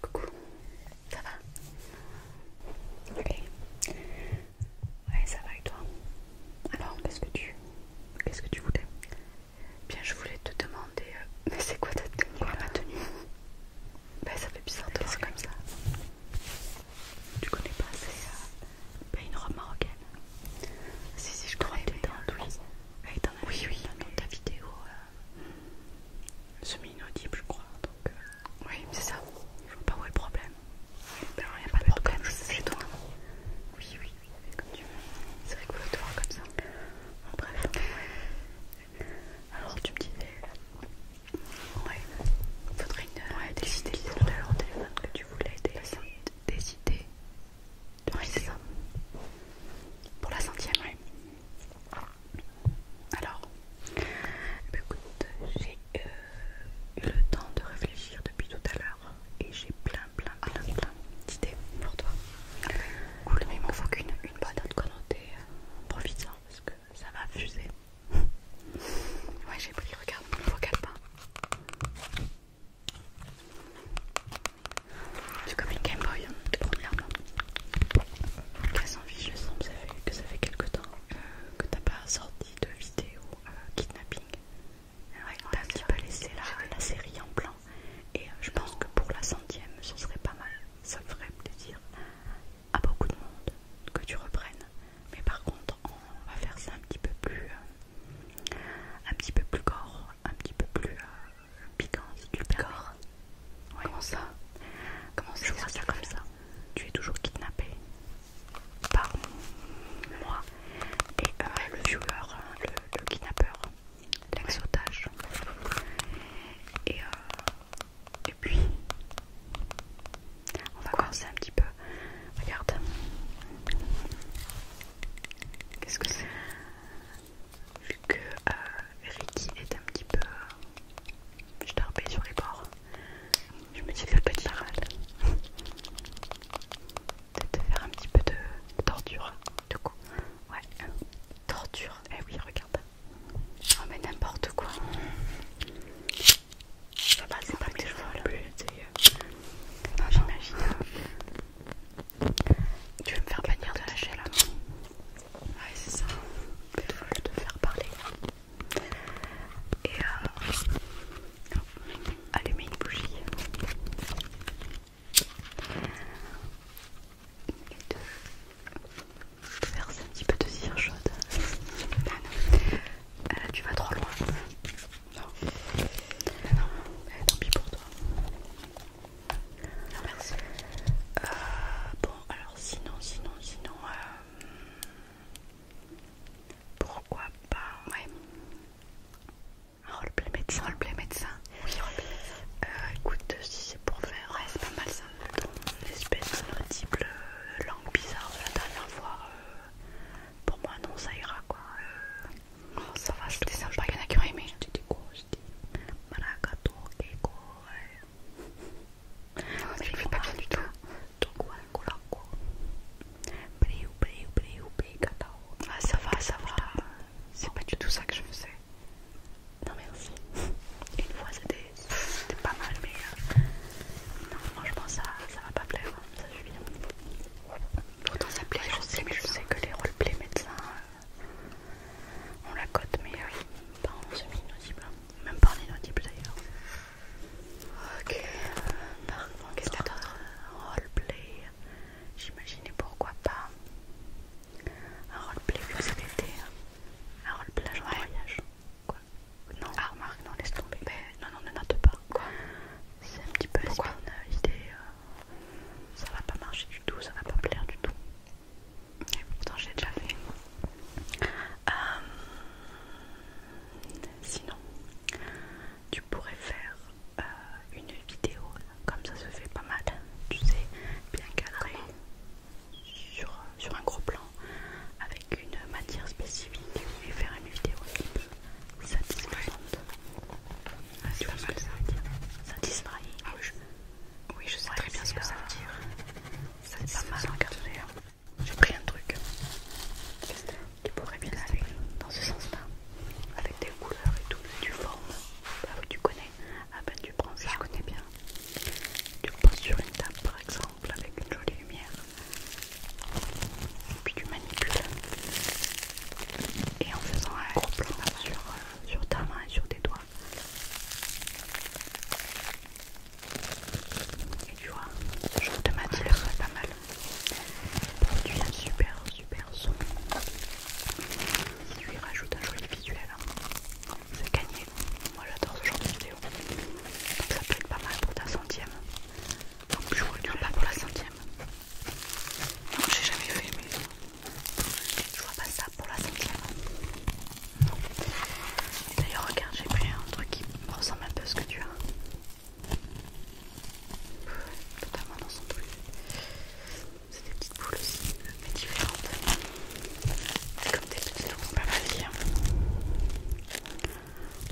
Coucou, ça va Ok. Ouais, ça va et toi Alors, qu'est-ce que tu, qu'est-ce que tu voulais Bien, je voulais te demander. Euh, mais c'est quoi ta tenue bah, ça fait bizarre de voir comme ça. Tu connais pas C'est euh, une robe marocaine. Si si, je crois, euh, Elle est dans oui. Oui, dans ta vidéo semi-inaudible, je crois. Donc, euh, Oui, c'est ça. Je vois pas où est le problème. Ben, il n'y a pas de problème, c'est toi. Oui, oui, oui, comme tu veux. C'est rigolo comme ça. En bref. Alors, tu me disais. Ouais. Faudrait une. Euh, ouais, des idées. Tout de téléphone que tu voulais des, idées. c'est ça. Pour la centième, Oui. Alors, eh ben, écoute, j'ai euh, eu le temps de réfléchir depuis tout à l'heure et j'ai plein, plein, plein, plein d'idées pour toi. Cool, mais il m'en faut qu'une une bonne note connotée. Profite-en parce que ça va fuser. ouais, j'ai pris, regarde mon vocal pas. C'est comme une Game Boy, hein, premièrement très envie, je sens que ça fait, quelques quelque temps euh, que t'as pas sorti de vidéo euh, kidnapping. Euh, ouais, t'as un petit peu laissé la, série en blanc et je pense que pour la centième ce serait pas mal, ça ferait plaisir à beaucoup de monde que tu reprennes. Mais par contre on va faire ça un petit peu plus, un petit peu plus gore, un petit peu plus piquant le Comment ça Comment ça comme ça Tu es toujours kidnappé par moi et euh, le viewer, le, kidnappeur, lex Et, euh, et puis, on va commencer un petit peu. Regarde. Qu'est-ce que c'est vu que euh, Ricky est un petit peu euh, sur les bords. Je me dis peut être pas mal. Peut-être faire un petit peu de torture, du coup. Ouais, torture. Eh oui, regarde. Oh, mais n'importe quoi. Ça va, c'est pas que je plus. Non, j'imagine. Tu veux me faire bannir de la chaîne Ouais, c'est ça. Il faut de faire parler. Et euh, allumer une bougie. Et de, verser un petit peu de cire chaude. Ah non. Ah, tu vas trop loin. Non. Ah non, non. Eh, tant pis pour toi merci. Euh, bon, alors sinon, sinon, sinon, euh, pourquoi pas, ouais. Un ah, roleplay médecin. roleplay médecin. Oui, roleplay médecin. Euh, écoute, si c'est pour faire, ouais, c'est pas mal ça. L'espèce type langue bizarre de la dernière fois, pour moi, non, ça ira quoi. Oh, ça va, c'était sympa, il y en a qui ont aimé. C'était quoi dis je ne fais pas bien du tout. Ah, ça va, ça va. C'est pas du tout ça que je sais. Non, merci. Une fois c'était pas mal, mais euh, non, franchement, ça, ça va pas plaire. Hein. Ça bien. Pourtant, ça plaît, je sais, mais je hein. sais que les roleplays médecins, euh, on la cote, mais euh, pas en semi-inaudible, hein. même pas en inaudible d'ailleurs. Ok, par qu'est-ce que Roleplay, j'imaginais pourquoi pas un roleplay vu que c'est été. Hein. un roleplay en voyage. Quoi Non, ah, remarque, non, laisse tomber. Mais, ben, non, non, ne note pas. Quoi C'est un petit peu pourquoi une euh, idée. Euh, ça va pas marcher du tout, ça va pas plaire du tout. Et pourtant j'ai déjà fait. Euh, sinon, tu pourrais faire euh, une vidéo comme ça se fait pas mal, tu sais, bien cadrée sur, un gros plan avec une matière spécifique et faire une vidéo un peu satisfaisante. ça veut dire oui, je sais très bien ce que ça euh, veut dire. Ça c'est pas mal encadré. Hein, J'ai pris un truc qui pourrait bien aller dans ce sens-là, avec des couleurs et tout, tu formes. Bah tu connais. Ah ben tu prends ça. Je connais bien. Tu le poses sur une table par exemple avec une jolie lumière. Et puis tu manipules. Et en faisant un gros plan sur euh, ta main et sur tes doigts. Et tu vois, ce genre de matière c'est pas mal. Produit un super super son. Si tu lui rajoutes un joli visuel, hein. c'est gagné. Moi j'adore ce genre de vidéo. Donc ça peut être pas mal pour ta centième. Donc je dirai pas pour la centième. Non, j'ai jamais fait, mais je vois pas ça pour la cinquième. Non. D'ailleurs, regarde, j'ai pris un truc qui ressemble un peu à ce que tu as. Totalement dans son truc. C'est des petites boules aussi, mais différentes. C'est comme des petits peut pas mal Tu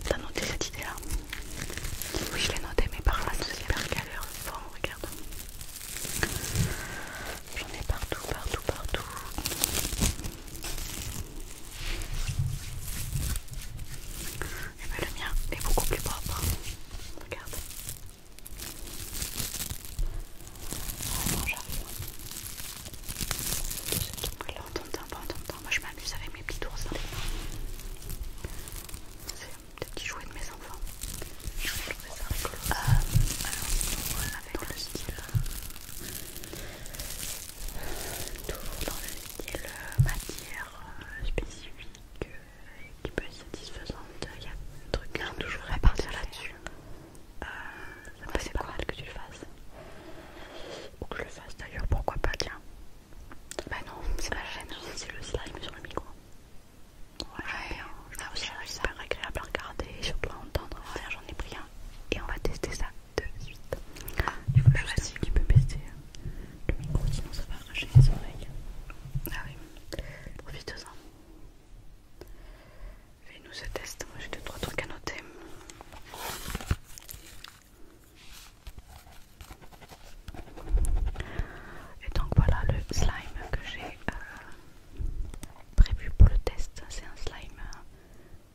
T'as noté cette idée là Oui, je l'ai noté, mais par c'est hyper galère. Bon, regarde. J'en ai partout, partout, partout. Et eh ben, le mien est beaucoup plus propre. Regarde. Oh, attends, j'arrive. Là, on t'entend pas, on temps Moi, je m'amuse avec mes petits ours dans les mains. C'est un petit jouet de maison enfin, je trouvais ça rigolo. Euh, alors, avec le style, euh, toujours dans le style euh, matière spécifique qui peut être satisfaisante, il y a un truc là je voudrais partir là-dessus. ça c'est pas mal que tu le fasses. Ou que je le fasse d'ailleurs, pourquoi pas, tiens. Bah non, c'est la chaîne, hein. c'est le slime sur le micro. Ouais, je ah, ça c'est super agréable à regarder et surtout à entendre. J'en ai pris un et on va tester ça de suite. Ah, que je je un qui peut tester le micro, sinon ça va arracher les oreilles. Ah oui, profite-en. Fais-nous ce test, moi j'ai deux trois trucs à noter. Et donc voilà le slime que j'ai euh, prévu pour le test. C'est un slime euh,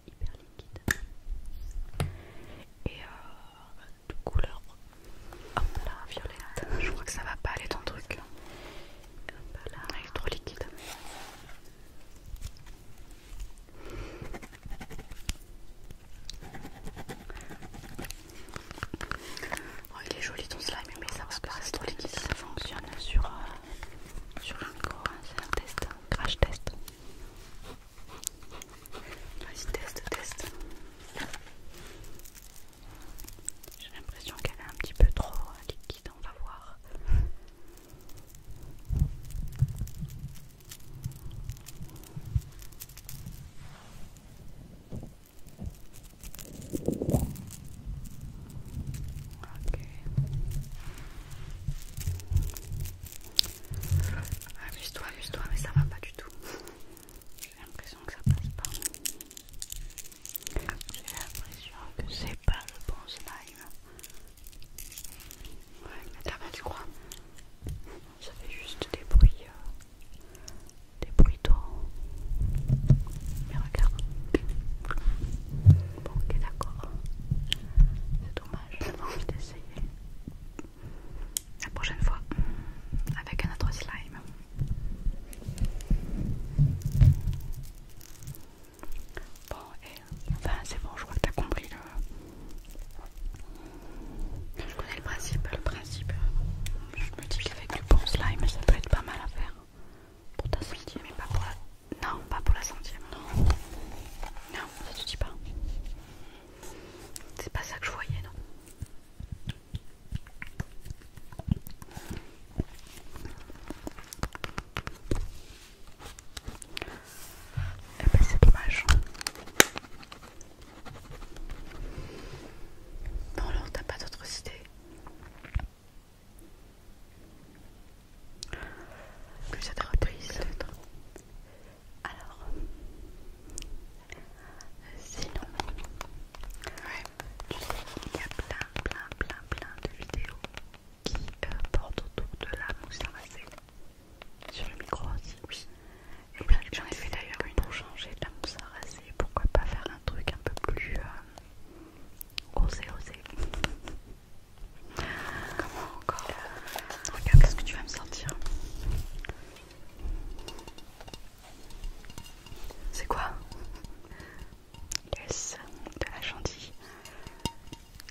hyper liquide et toute euh, de couleur hop là, violette. Je crois que ça va pas aller ton truc. est trop liquide. Oh, il est joli ton slime, mais ça va pas trop liquide. Ça fonctionne sur, le euh, micro, hein, c'est un test, un crash test. Vas-y, test, teste. J'ai l'impression qu'elle est un petit peu trop euh, liquide, on va voir. Ok. Amuse-toi, amuse-toi, mais ça va pas du tout. J'ai l'impression que ça passe pas. J'ai l'impression que c'est pas le bon slime. Ouais, mais t'as pas, du quoi Ça fait juste des bruits. Euh, des bruits Mais regarde. Bon, ok, d'accord. C'est dommage, pas envie d'essayer. La prochaine fois, avec un autre slime. Bon, et enfin, c'est bon, je crois que t'as compris le. Je connais le principe. Le principe, je me dis qu'avec du bon slime, ça peut être pas mal à faire. Pour ta centième mais pas pour la... Non, pas pour la centième. Non, non ça te dit pas. C'est pas ça que je voyais, non. Eh ben c'est dommage. Non, alors t'as pas d'autres idées. Que ça Alors, sinon, tu sais, il y a plein, plein, plein, plein de vidéos qui euh, portent autour de la mousse à Sur le micro aussi, oui. bien, j'en ai fait d'ailleurs une pour changer de la mousse à raser. Pourquoi pas faire un truc un peu plus euh, osé, osé. Comment encore qu'est-ce que tu vas me sentir C'est quoi Yes, de la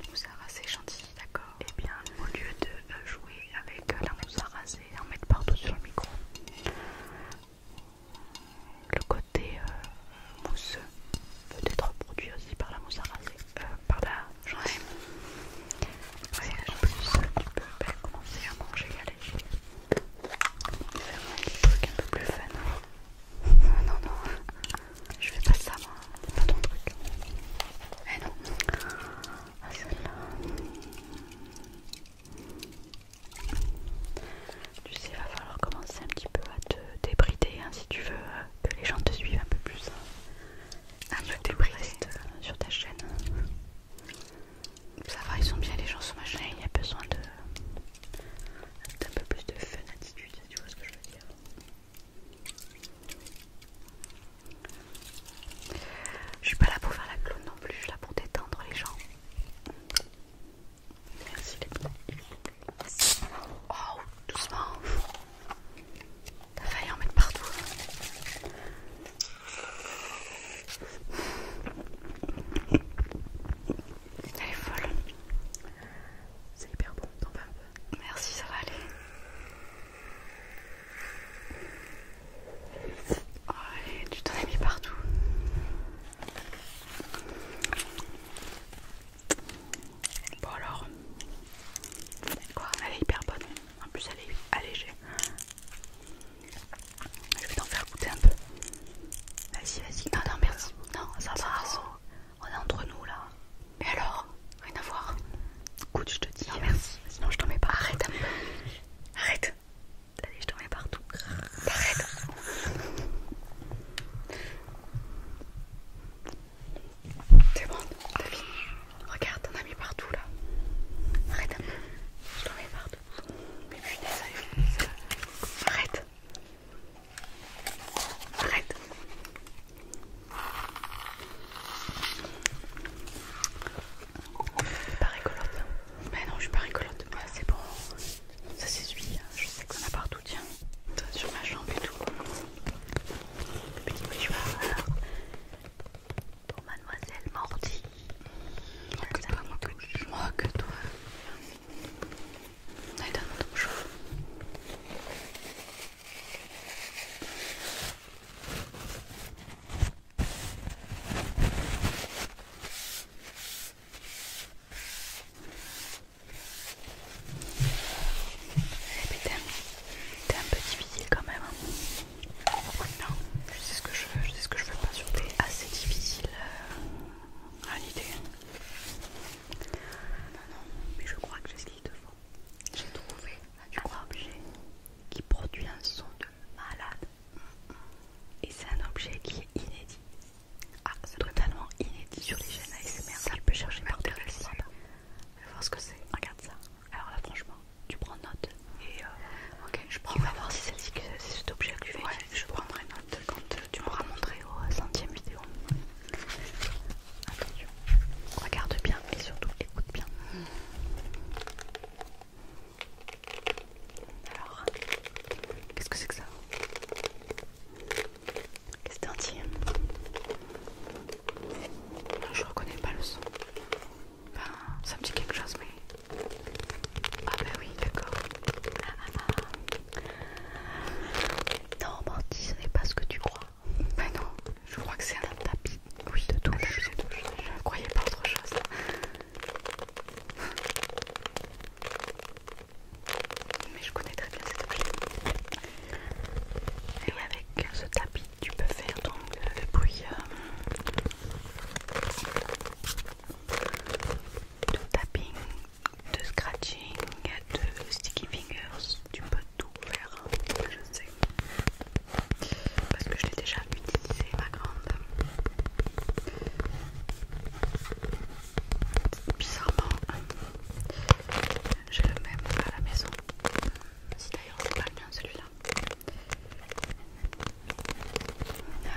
nous à rasé gentil d'accord. Et eh bien, au lieu de euh, jouer avec euh, la mousse à raser et en mettre partout sur le micro, le côté euh, mousseux peut être produit aussi par la mousse à raser, euh, par la journée. en plus, tu peux commencer à manger à léger. Faire un truc un peu plus fun. Non, non, je fais pas ça, moi. C'est pas ton truc. Eh non. Ah, là tu sais, il va falloir commencer un petit peu à te débrider hein, si tu veux euh, que les gens te suivent un peu plus. Un hein. ah, peu sur ta chaîne. Hein. Ça va, ils sont bien les gens sur ma chaîne, il y a besoin de d'un peu plus de fun attitude, si tu vois ce que je veux dire. Je suis pas là pour faire la clown non plus, je suis là pour détendre les gens. Merci les petits. Oh, doucement. T'as failli en mettre partout. Hein. Elle est folle. C'est hyper bon, t'en un peu. Merci, ça va aller. Oh, allez, tu t'en as mis partout. Bon alors, quoi, elle est hyper bonne, en plus elle est allégée. Je vais t'en faire goûter un peu. Vas-y, vas-y. Non, non, merci. Non, ça On est entre nous là. Mais alors Rien à voir. Écoute, je te dis. Hein. merci. Sinon, je t'en mets pas. Arrête un peu. Arrête. Allez, je t'en mets partout. Arrête. C'est bon, t'as fini. Regarde, t'en as mis partout là. Arrête Je t'en mets partout. Mais punaise, arrête. Arrête. Pas rigolote. Mais non, je suis pas rigolote. Ah, c'est bon. Ça c'est celui hein, je sais qu'on a partout, tiens. sur ma jambe et tout. Le petit mouchoir, Pour mademoiselle Morty. Moi que toi, moi que, que toi. Allez, donne-moi ton T'es un, peu difficile quand même. Hein. Non, je sais ce que je veux, je sais ce que je veux pas surtout. T'es assez difficile euh, à l'idée. Non, non, mais je crois que j'ai ce qu'il te faut. J'ai trouvé un ah, objet qui produit un son de malade. Et c'est un objet qui est inédit. Ah, c'est totalement inédit sur les chaînes ASMR. Ça peux chercher par voir ce que c'est. Regarde ça. Alors là, franchement, tu prends note. Et euh, ok, je prends. On va voir si c'est cet objet que tu je prendrai note quand euh, tu m'auras montré au euh, centième vidéo. Attention, regarde bien et surtout écoute bien. Alors, qu'est-ce que c'est que ça Qu'est-ce que c'est Je reconnais pas le son. Enfin, ça me dit quelque chose, mais. Ah, bah oui, d'accord. Ah, ah, ah. Non, menti, ce n'est pas ce que tu crois. Bah non, je crois que c'est un tapis. Oui, de touche. Je ne croyais pas autre chose. Mais je connais très bien cet objet. Et avec ce tapis, tu peux faire donc euh, le bruit euh, de tapping, de scratching, de sticky fingers. Tu peux tout faire, je sais. Parce que je l'ai déjà à ma grande. Bizarrement, j'ai le même à la maison. Si d'ailleurs c'est pas le mien celui-là.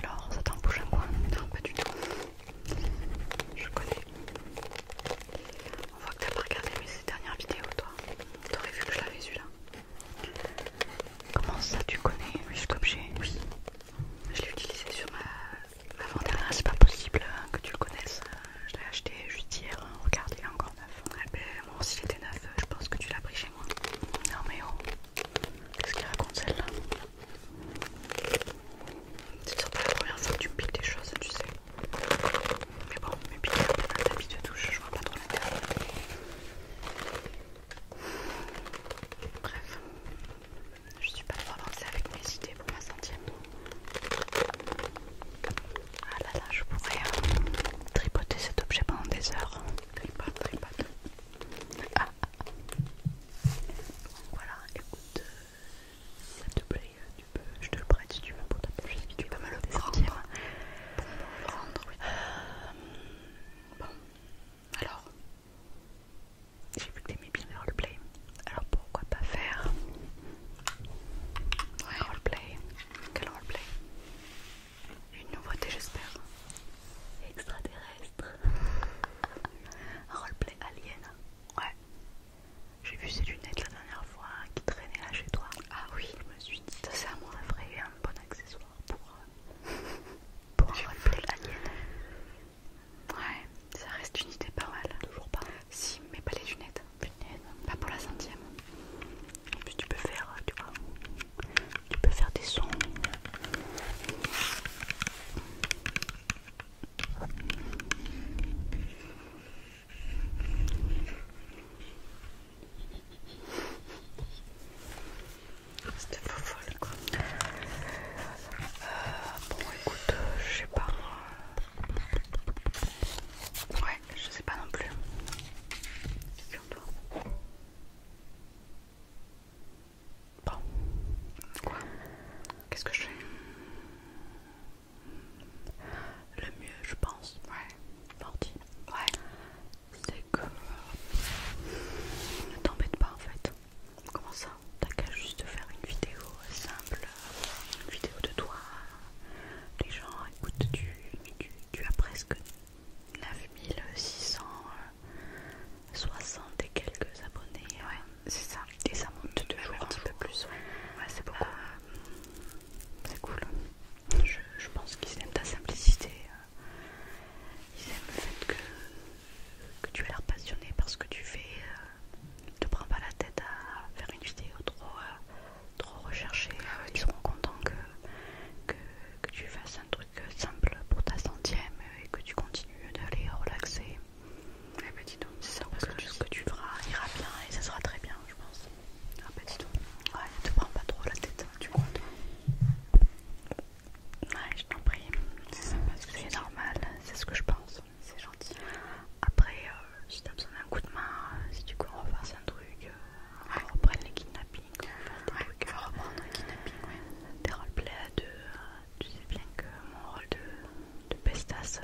Alors, ça t'en bouge un coin Non, pas du tout. Je connais. On voit que t'as pas regardé mes dernières vidéos, toi. T'aurais vu que je l'avais eu là Comment ça, tu connais Juste j'ai... Oui, je l'ai utilisé sur ma vente dernière c'est pas possible hein, que tu le connaisses. Euh, je l'ai acheté juste hier, hein. regarde il est encore neuf. Hein. Eh ben, aussi bon, s'il était neuf, euh, je pense que tu l'as pris chez moi. Non mais oh, qu'est-ce qu'il raconte celle-là C'est surtout la première fois que tu me piques des choses, tu sais. Mais bon, mes piques, un tapis de touche, je vois pas trop l'intérêt. Bref, je suis pas trop avancée avec mes idées pour ma centième. Ah là là, je pourrais euh, tripoter cet objet pendant des heures. Tripote, tripote. Ah. ah, ah. Voilà, écoute, euh, s'il ça te plaît, euh, tu peux, je te le prête si tu veux pour ta petite si tu veux me le prendre. Pour me le rendre, bon, alors, j'ai vu que t'aimais bien les roleplay. Alors pourquoi pas faire ouais. un roleplay Quel roleplay Une nouveauté, j'espère. Extraterrestre. un roleplay alien. Ouais. J'ai vu ces lunettes la dernière fois qui traînaient là chez toi. Ah oui, je me suis dit. Ça, c'est un, vrai, un bon accessoire pour. Euh, pour un la Ouais, ça reste une idée pas mal. Toujours pas. Si, mais pas les lunettes. Pas pour la centième. En puis tu peux faire, euh, tu vois, tu peux faire des sons. C'était FouFouLe quoi. Euh, bon, écoute, euh, je sais pas. Ouais, je sais pas non plus. Figure-toi. Bon, quoi Qu'est-ce que je fais Le mieux, je pense. Ouais, parti. Ouais comme Ne t'embête pas en fait. Comment ça T'as qu'à juste faire une vidéo simple, une vidéo de toi. Les gens écoutent, tu, tu, as presque 9660 et quelques abonnés. Ouais, c'est ça. Et ça monte de jour un petit peu hein. plus. Ouais, c'est euh, beaucoup. c'est cool. je pense qu'ils aiment ta simplicité. Hein ils aiment le fait que, que tu as l'air passionné par ce que tu fais. Ne euh, te prends pas la tête à faire une vidéo trop, euh, trop recherchée. Ah ils seront contents que, que, tu fasses un truc simple pour ta centième et que tu continues d'aller relaxer. Eh ben dis donc, c'est ça parce que, ce que tu feras ira bien et ça sera très bien, je pense. Ah ben dis donc, ouais, ne te prends pas trop la tête, tu crois Ouais, je t'en prie, c'est normal, c'est ce que je pense, c'est gentil. Après, euh, si t'as besoin d'un coup de main, euh, si tu veux refasse un truc, on reprenne les kidnappings, on va reprendre les kidnappings, Des euh, roleplays à tu sais bien que mon rôle de, de pestasse,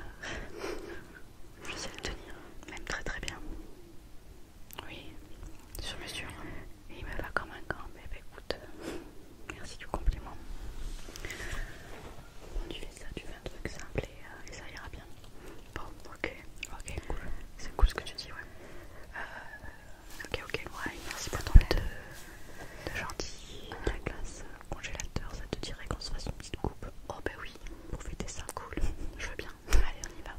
je sais le tenir, même très très bien. Oui, sur mesure. Et il me va comme un gant. Mais écoute, merci du compliment. Bon, tu fais ça, tu fais un truc simple euh, et, ça ira bien. Bon, ok, ok, cool. C'est cool ce que tu dis, ouais. Euh, ok, ok, ouais, merci pour ton aide de gentil. La glace euh, congélateur, ça te dirait qu'on se fasse une petite coupe Oh, bah oui, pour fêter ça, cool. Je veux bien. Allez, on y va.